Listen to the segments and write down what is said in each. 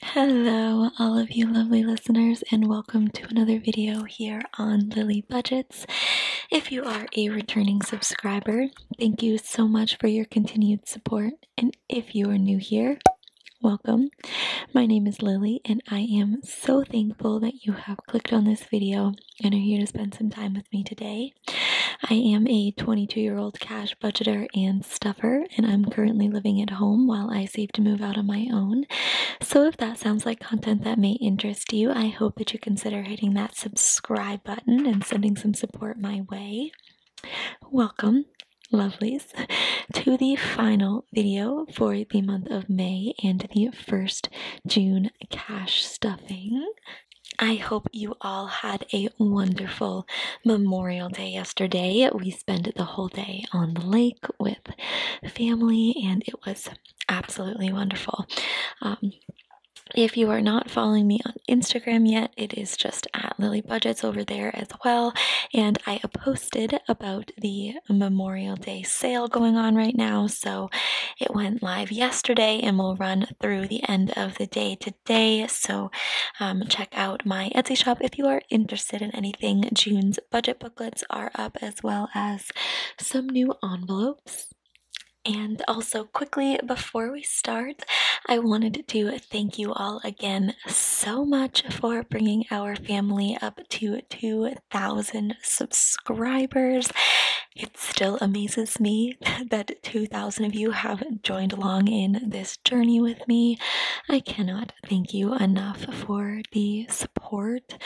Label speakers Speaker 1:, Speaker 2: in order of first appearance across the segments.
Speaker 1: Hello, all of you lovely listeners, and welcome to another video here on Lily Budgets. If you are a returning subscriber, thank you so much for your continued support. And if you are new here, Welcome. My name is Lily, and I am so thankful that you have clicked on this video and are here to spend some time with me today. I am a 22 year old cash budgeter and stuffer, and I'm currently living at home while I save to move out on my own. So, if that sounds like content that may interest you, I hope that you consider hitting that subscribe button and sending some support my way. Welcome, lovelies, to the final video for the month of May and the first June cash stuffing. I hope you all had a wonderful Memorial Day yesterday. We spent the whole day on the lake with family, and it was absolutely wonderful. Um, if you are not following me on Instagram yet, it is just at Lily Budgets over there as well. And I posted about the Memorial Day sale going on right now. So it went live yesterday and will run through the end of the day today. So um, check out my Etsy shop if you are interested in anything. June's budget booklets are up as well as some new envelopes. And also, quickly before we start, I wanted to thank you all again so much for bringing our family up to 2 2,000 subscribers. It still amazes me that 2,000 of you have joined along in this journey with me. I cannot thank you enough for the support.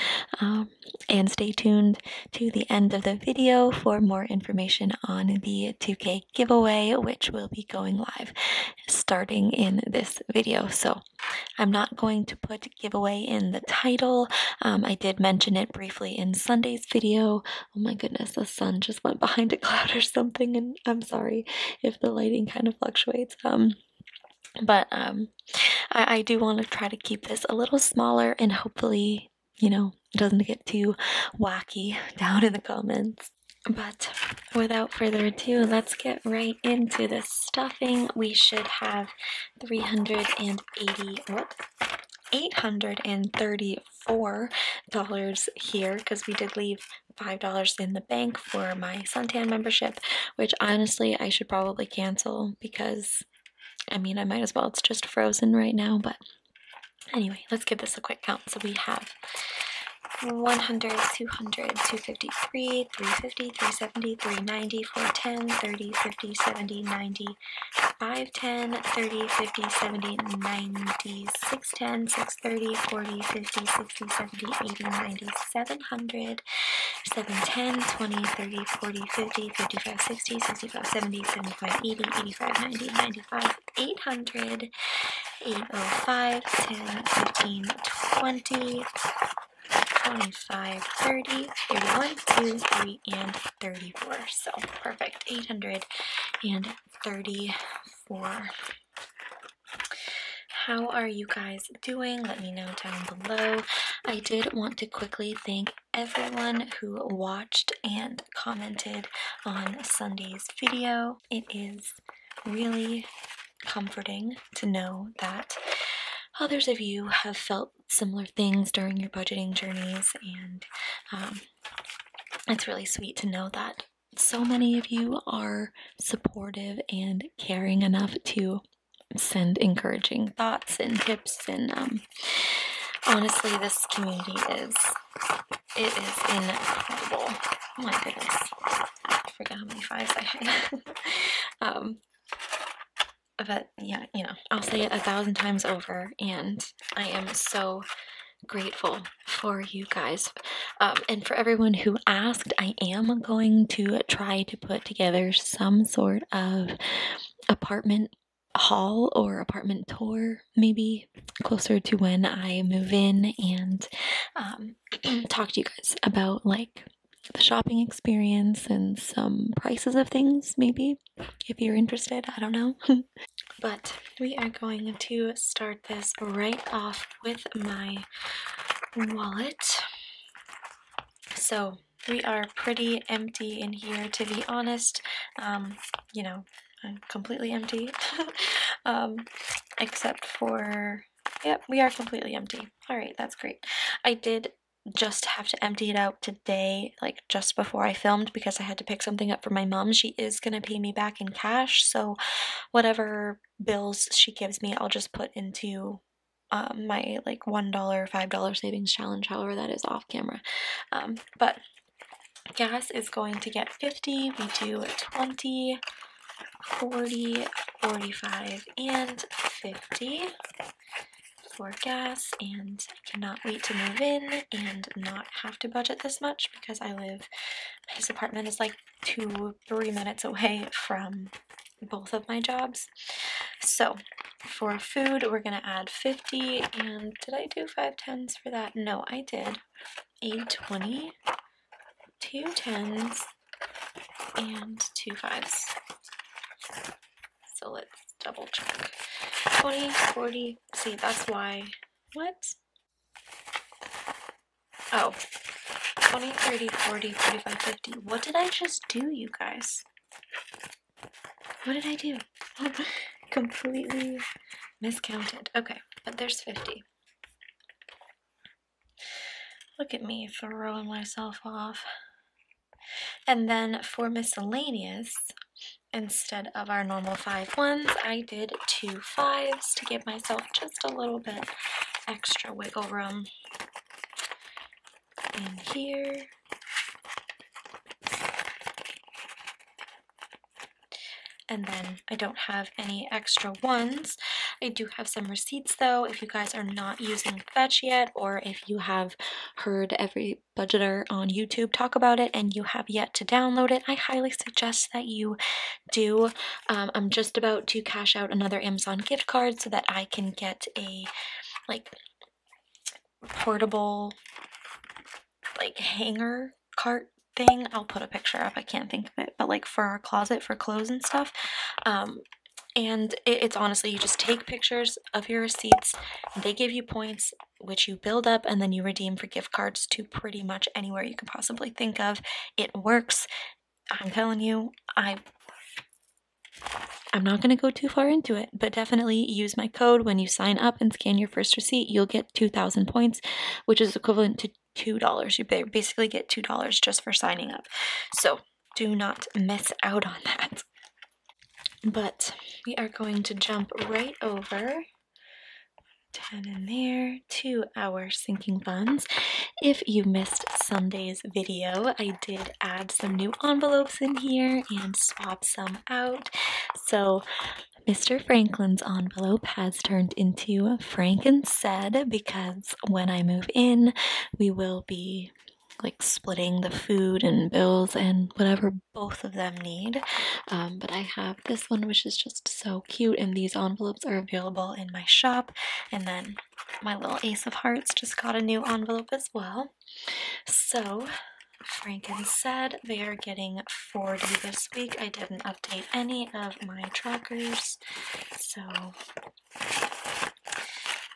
Speaker 1: Um, and stay tuned to the end of the video for more information on the 2K giveaway, which will be going live starting in this video. So I'm not going to put giveaway in the title. Um, I did mention it briefly in Sunday's video. Oh my goodness, the sun just went behind a cloud or something, and I'm sorry if the lighting kind of fluctuates. Um, but um, I do want to try to keep this a little smaller and hopefully, you know, it doesn't get too wacky down in the comments. But without further ado, let's get right into the stuffing. We should have 380 what $834 here because we did leave $5 in the bank for my suntan membership which honestly I should probably cancel because I mean I might as well it's just frozen right now but anyway let's give this a quick count so we have 100 200 253 350 370, 390, 410, 30, 50, 70, 90, 510, 30, 50, 70, 90, 610, 630, 40, 50, 60, 70, 80, 90, 700, 710, 20, 30, 40, 50, 55, 60, 65, 70, 75, 80, 85, 90, 95, 800, 805, 10, 15, 20, 25, 30, 31, 2, 3, and 34. So perfect. 834. How are you guys doing? Let me know down below. I did want to quickly thank everyone who watched and commented on Sunday's video. It is really comforting to know that others of you have felt similar things during your budgeting journeys, and um, it's really sweet to know that so many of you are supportive and caring enough to send encouraging thoughts and tips and um, honestly this community is it is incredible oh my goodness i forgot how many fives i had um, but yeah, you know, I'll say it a thousand times over, and I am so grateful for you guys. Um, and for everyone who asked, I am going to try to put together some sort of apartment haul or apartment tour, maybe closer to when I move in and um, talk to you guys about like the shopping experience and some prices of things, maybe, if you're interested. I don't know. but we are going to start this right off with my wallet. So we are pretty empty in here, to be honest. Um, you know, I'm completely empty. um, except for Yep, we are completely empty. All right, that's great. I did just have to empty it out today, like just before I filmed, because I had to pick something up for my mom. She is going to pay me back in cash, so whatever bills she gives me, I'll just put into um, my like $1, $5 savings challenge, however that is off camera. Um, but gas is going to get 50, we do 20, 40, 45, and 50 for gas and I cannot wait to move in and not have to budget this much because I live, his apartment is like two, three minutes away from both of my jobs. So for food, we're going to add 50 and did I do five tens for that? No, I did. A 20, two tens, and two fives. So let's double check. 20, 40, see that's why, what? Oh, 20, 30, 40, 45, 50. What did I just do, you guys? What did I do? Completely miscounted. Okay, but there's 50. Look at me throwing myself off. And then for miscellaneous, instead of our normal five ones, I did two fives to give myself just a little bit extra wiggle room in here. And then I don't have any extra ones. I do have some receipts though if you guys are not using Fetch yet or if you have heard every budgeter on YouTube talk about it and you have yet to download it, I highly suggest that you do. Um, I'm just about to cash out another Amazon gift card so that I can get a like portable like hanger cart thing. I'll put a picture up. I can't think of it, but like for our closet for clothes and stuff. Um, and it's honestly you just take pictures of your receipts they give you points which you build up and then you redeem for gift cards to pretty much anywhere you can possibly think of it works i'm telling you i I'm not going to go too far into it, but definitely use my code when you sign up and scan your first receipt. You'll get 2,000 points, which is equivalent to $2. You basically get $2 just for signing up. So do not miss out on that. But we are going to jump right over 10 in there to our sinking funds. If you missed Sunday's video, I did add some new envelopes in here and swap some out. So Mr. Franklin's envelope has turned into Frank and said because when I move in, we will be like splitting the food and bills and whatever both of them need. Um, but I have this one, which is just so cute, and these envelopes are available in my shop. And then my little Ace of Hearts just got a new envelope as well. So Franken said they are getting 40 this week. I didn't update any of my trackers, so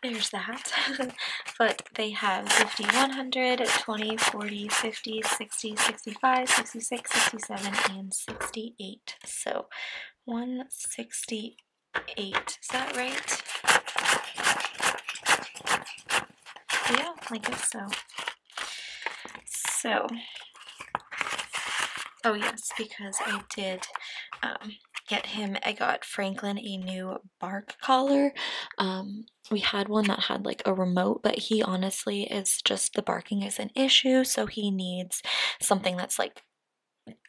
Speaker 1: there's that. but they have 50, 20, 40, 50, 60, 65, 66, 67, and 68. So 168. Is that right? Yeah, I guess so. So, oh yes, because I did um, get him, I got Franklin a new bark collar. Um, we had one that had like a remote, but he honestly is just the barking is an issue, so he needs something that's like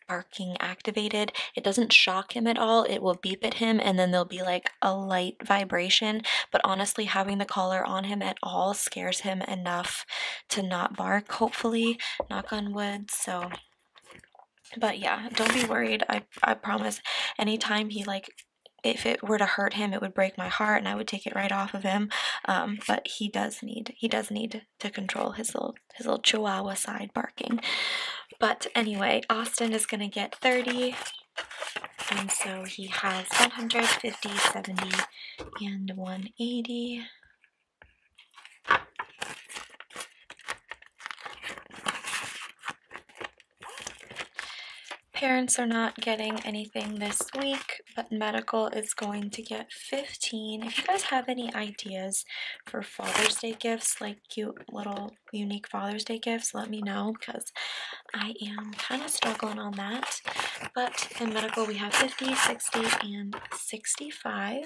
Speaker 1: barking activated. It doesn't shock him at all. It will beep at him and then there'll be like a light vibration. But honestly, having the collar on him at all scares him enough to not bark, hopefully, knock on wood. So but yeah don't be worried i i promise anytime he like if it were to hurt him it would break my heart and i would take it right off of him um, but he does need he does need to control his little his little chihuahua side barking but anyway austin is going to get 30 and so he has 150 70 and 180 Parents are not getting anything this week, but medical is going to get 15. If you guys have any ideas for Father's Day gifts, like cute little unique Father's Day gifts, let me know because I am kind of struggling on that. But in medical, we have 50, 60, and 65.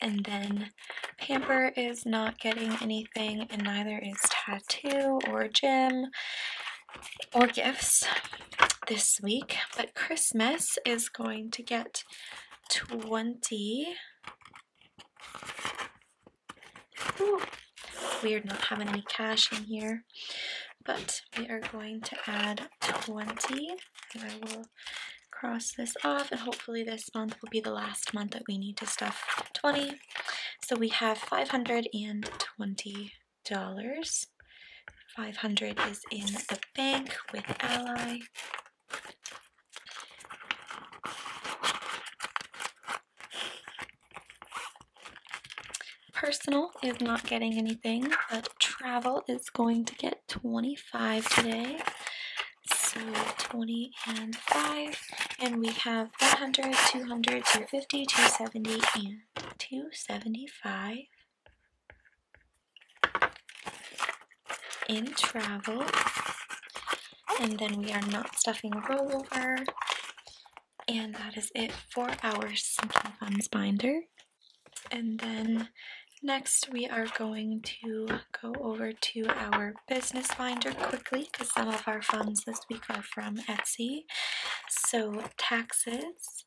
Speaker 1: And then Pamper is not getting anything, and neither is Tattoo or Jim or gifts this week. But Christmas is going to get 20. weird not having any cash in here. But we are going to add 20, cross this off and hopefully this month will be the last month that we need to stuff 20. So we have $520. $500 is in the bank with Ally. Personal is not getting anything, but travel is going to get 25 today. So 20 and 5. And we have 100, 200, 250, 270, and 275. In travel. And then we are not stuffing rollover. And that is it for our Sinking Funds binder. And then next we are going to go over to our business binder quickly because some of our funds this week are from Etsy. So taxes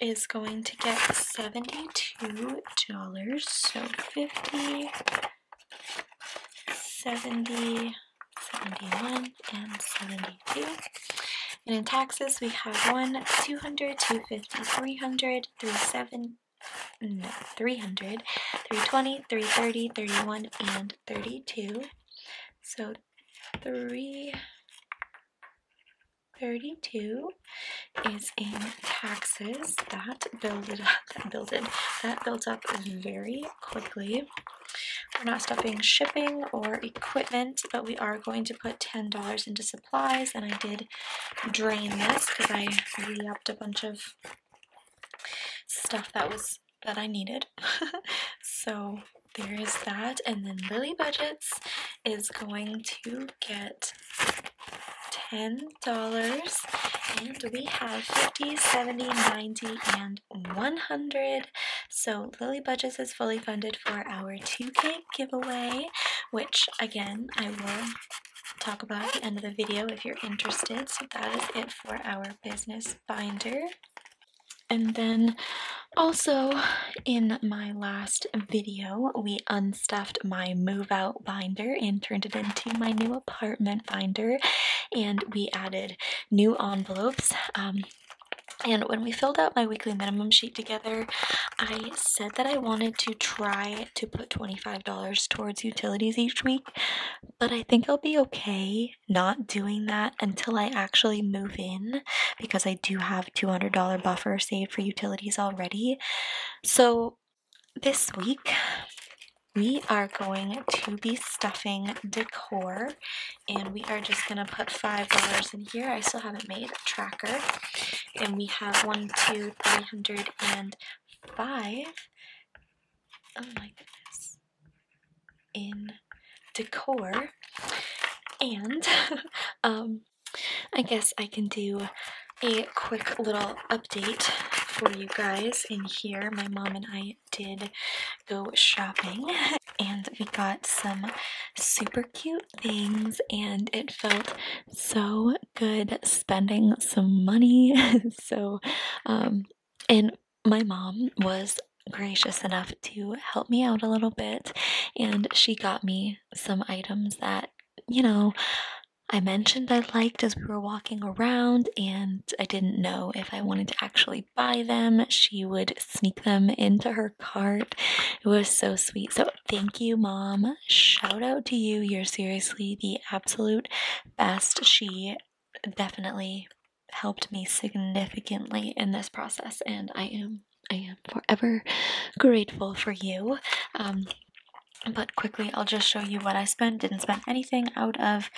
Speaker 1: is going to get $72, so 50, 70, 71, and 72. And in taxes, we have 1, 200, 250, 300, Three seven, three hundred, three twenty, three thirty, thirty one, and 32. So three thirty two is in taxes. That builds up, that builded, that built up very quickly. We're not stopping shipping or equipment, but we are going to put $10 into supplies, and I did drain this because I re a bunch of stuff that was that I needed. so there is that, and then Lily Budgets is going to get ten dollars and we have 50 70 90 and 100 so lily budgets is fully funded for our 2k giveaway which again i will talk about at the end of the video if you're interested. So that is it for our business binder. And then also in my last video, we unstuffed my move out binder and turned it into my new apartment binder. And we added new envelopes. Um, and when we filled out my weekly minimum sheet together, I said that I wanted to try to put $25 towards utilities each week, but I think I'll be okay not doing that until I actually move in because I do have $200 buffer saved for utilities already. So this week, we are going to be stuffing decor and we are just going to put $5 in here. I still haven't made a tracker and we have one, two, three hundred and five. Oh my goodness. In decor. And um I guess I can do a quick little update for you guys in here. My mom and I did go shopping and we got some super cute things and it felt so good spending some money. so, um, and my mom was gracious enough to help me out a little bit, and she got me some items that, you know, I mentioned I liked as we were walking around, and I didn't know if I wanted to actually buy them. She would sneak them into her cart. It was so sweet. So Thank you, mom. Shout out to you. You're seriously the absolute best. She definitely helped me significantly in this process, and I am I am forever grateful for you. Um, but quickly, I'll just show you what I spent. Didn't spend anything out of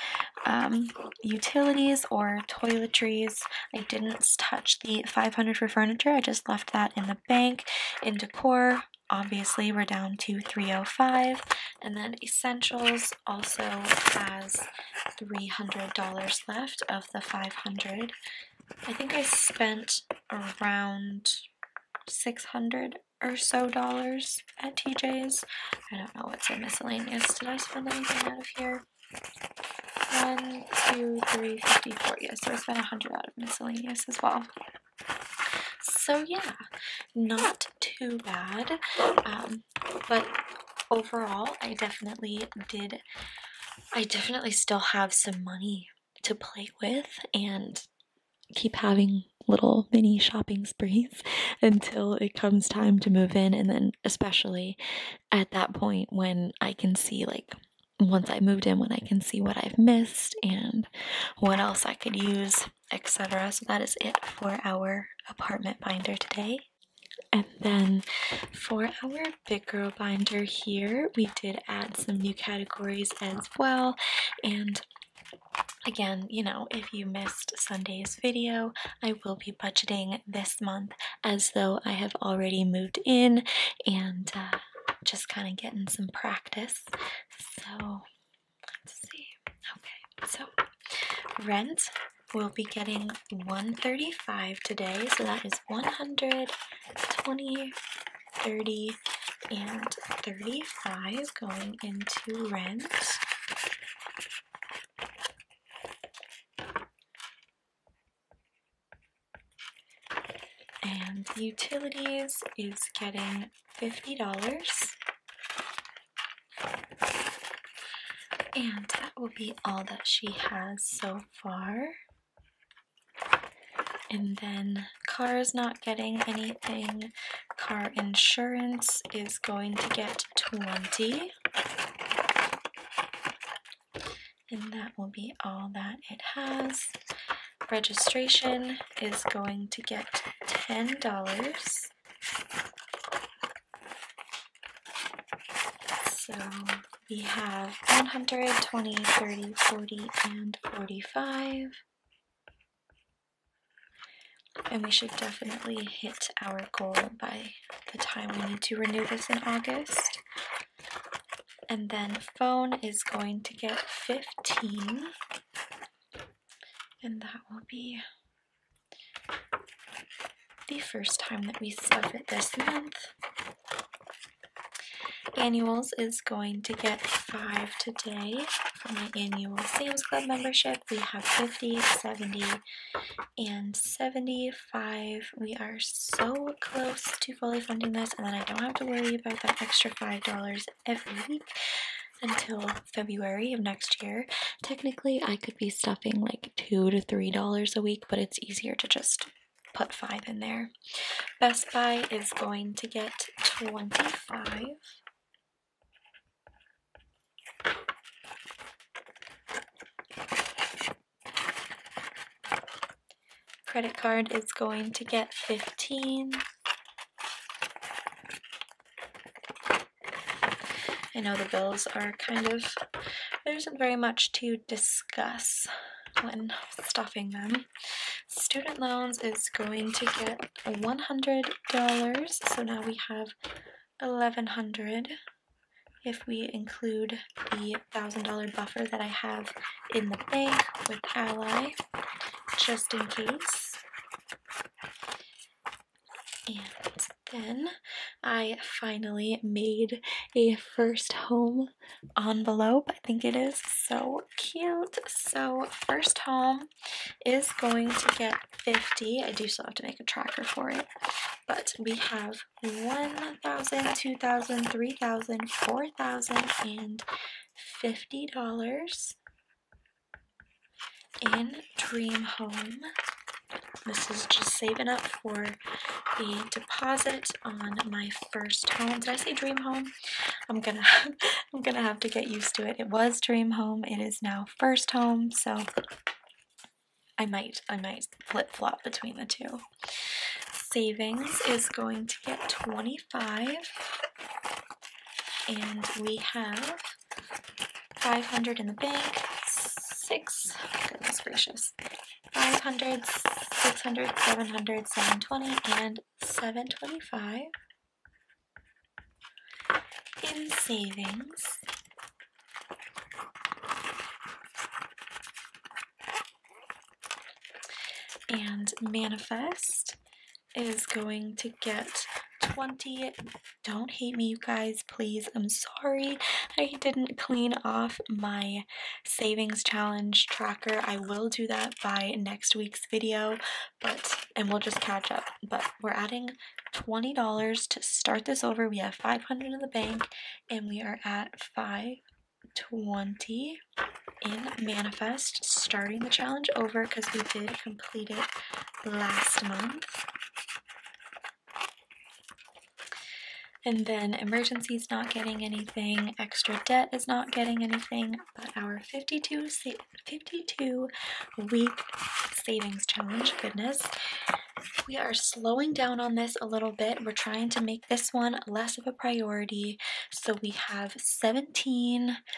Speaker 1: um, utilities or toiletries. I didn't touch the 500 for furniture. I just left that in the bank, in decor, Obviously, we're down to 305 and then Essentials also has $300 left of the 500 I think I spent around 600 or so dollars at TJ's. I don't know what's in miscellaneous. Did I spend anything out of here? One, two, three, fifty-four. Yes, so I spent a hundred out of miscellaneous as well. So yeah, not too bad. Um, but overall, I definitely did. I definitely still have some money to play with and keep having little mini shopping sprees until it comes time to move in and then especially at that point when I can see like once I moved in when I can see what I've missed and what else I could use, etc. So that is it for our apartment binder today. And then for our big girl binder here, we did add some new categories as well. And Again, you know, if you missed Sunday's video, I will be budgeting this month as though I have already moved in and uh, just kind of getting some practice so let's see. Okay, so rent will be getting 135 today, so that is 120, 30, and 35 going into rent. And utilities is getting $50. And that will be all that she has so far. And then car is not getting anything. Car insurance is going to get 20. And that will be all that it has. Registration is going to get $10. So we have 120, 30, 40, and 45. And we should definitely hit our goal by the time we need to renew this in August. And then phone is going to get 15. And that will be the first time that we stuff it this month. Annuals is going to get five today for my annual Sam's Club membership. We have 50, and 75. We are so close to fully funding this, and then I don't have to worry about that extra $5 every week until February of next year. Technically, I could be stuffing like two to three dollars a week, but it's easier to just put five in there. Best Buy is going to get 25. Credit card is going to get 15. I know the bills are kind of, there isn't very much to discuss when stuffing them. Student loans is going to get $100, so now we have 1100 dollars if we include the $1,000 buffer that I have in the bank with Ally just in case. And then I finally made a first home envelope. I think it is so cute. So first home is going to get 50. I do still have to make a tracker for it. But we have 1,000, 2,000, 3,000, 4,000, and $50 in Dream Home. This is just saving up for the deposit on my first home. Did I say dream home? I'm gonna I'm gonna have to get used to it. It was dream home. It is now first home. So I might I might flip flop between the two. Savings is going to get 25 and we have 500 in the bank, six, goodness gracious, 500, 600, 700, 720, and 725 in savings. And manifest is going to get 20 don't hate me you guys please i'm sorry i didn't clean off my savings challenge tracker i will do that by next week's video but and we'll just catch up but we're adding $20 to start this over we have 500 in the bank and we are at 520 in Manifest, starting the challenge over because we did complete it last month. And then emergency is not getting anything, extra debt is not getting anything, but our 52, 52 week savings challenge, goodness, we are slowing down on this a little bit. We're trying to make this one less of a priority. So we have 17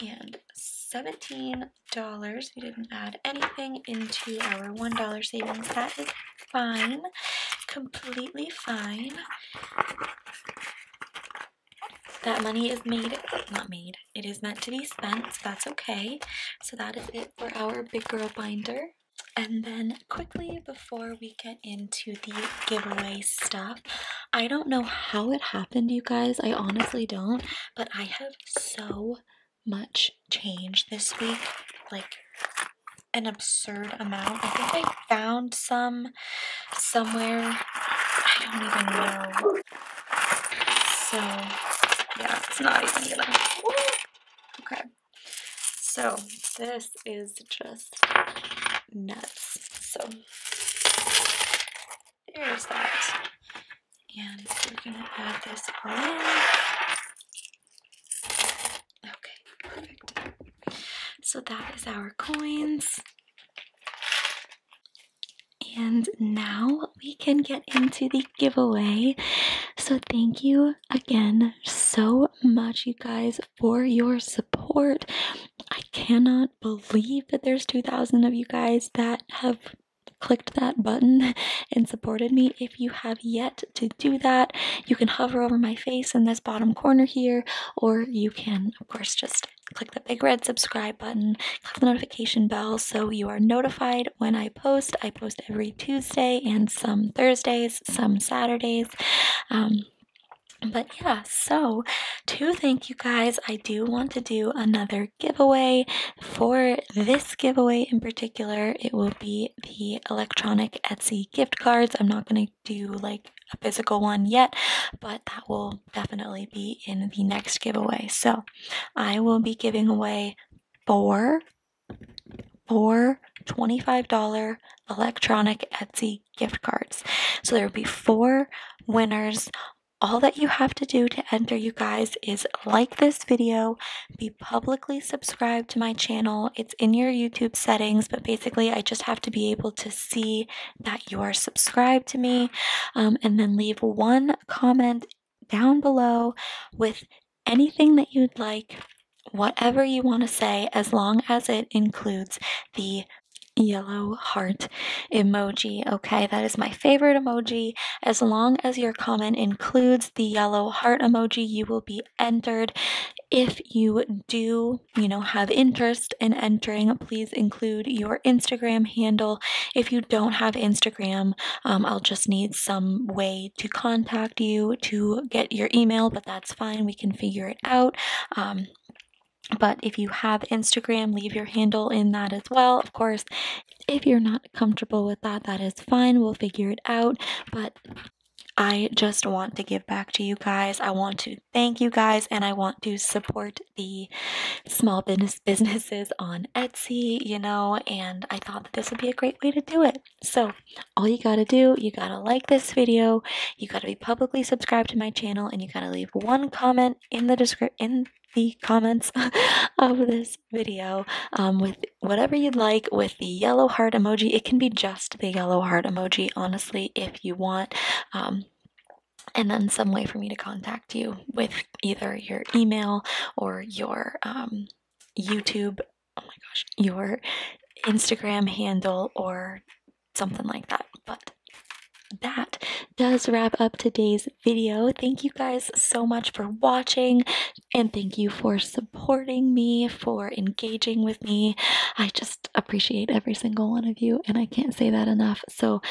Speaker 1: and seventeen dollars. We didn't add anything into our one dollar savings. That is fine, completely fine. That money is made, not made. It is meant to be spent. So that's okay. So that is it for our big girl binder. And then quickly before we get into the giveaway stuff, I don't know how it happened, you guys. I honestly don't, but I have so much change this week. Like an absurd amount. I think I found some somewhere. I don't even know. So, yeah, it's not even gonna. Okay. So, this is just nuts. So, there's that. And we're gonna add this all in. Okay, perfect. So that is our coins. And now we can get into the giveaway. So, thank you again so much, you guys, for your support. I cannot believe that there's 2,000 of you guys that have clicked that button and supported me. If you have yet to do that, you can hover over my face in this bottom corner here, or you can, of course, just click the big red subscribe button, click the notification bell so you are notified when I post. I post every Tuesday and some Thursdays, some Saturdays. Um, but yeah, so to thank you guys, I do want to do another giveaway. For this giveaway in particular, it will be the electronic Etsy gift cards. I'm not going to do like a physical one yet, but that will definitely be in the next giveaway. So I will be giving away four, four $25 electronic Etsy gift cards. So there will be four winners all that you have to do to enter, you guys, is like this video, be publicly subscribed to my channel. It's in your YouTube settings, but basically, I just have to be able to see that you are subscribed to me, um, and then leave one comment down below with anything that you'd like, whatever you want to say, as long as it includes the yellow heart emoji. Okay, that is my favorite emoji. As long as your comment includes the yellow heart emoji, you will be entered. If you do, you know, have interest in entering, please include your Instagram handle. If you don't have Instagram, um, I'll just need some way to contact you to get your email, but that's fine. We can figure it out. Um, but if you have Instagram, leave your handle in that as well. Of course, if you're not comfortable with that, that is fine. We'll figure it out. But I just want to give back to you guys. I want to thank you guys and I want to support the small business businesses on Etsy, you know, and I thought that this would be a great way to do it. So, all you got to do, you got to like this video, you got to be publicly subscribed to my channel and you got to leave one comment in the description the comments of this video um, with whatever you'd like with the yellow heart emoji. It can be just the yellow heart emoji, honestly, if you want. Um, and then some way for me to contact you with either your email or your um, YouTube, oh my gosh, your Instagram handle or something like that. But that does wrap up today's video. Thank you guys so much for watching and thank you for supporting me, for engaging with me. I just appreciate every single one of you and I can't say that enough. So,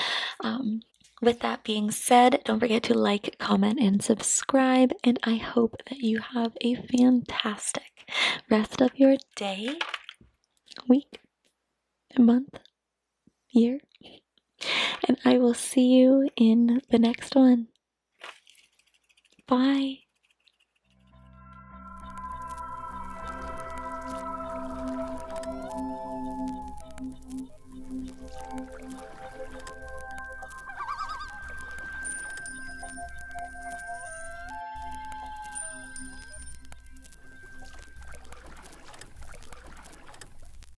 Speaker 1: um, with that being said, don't forget to like, comment, and subscribe. And I hope that you have a fantastic rest of your day, week, month, year. And I will see you in the next one. Bye.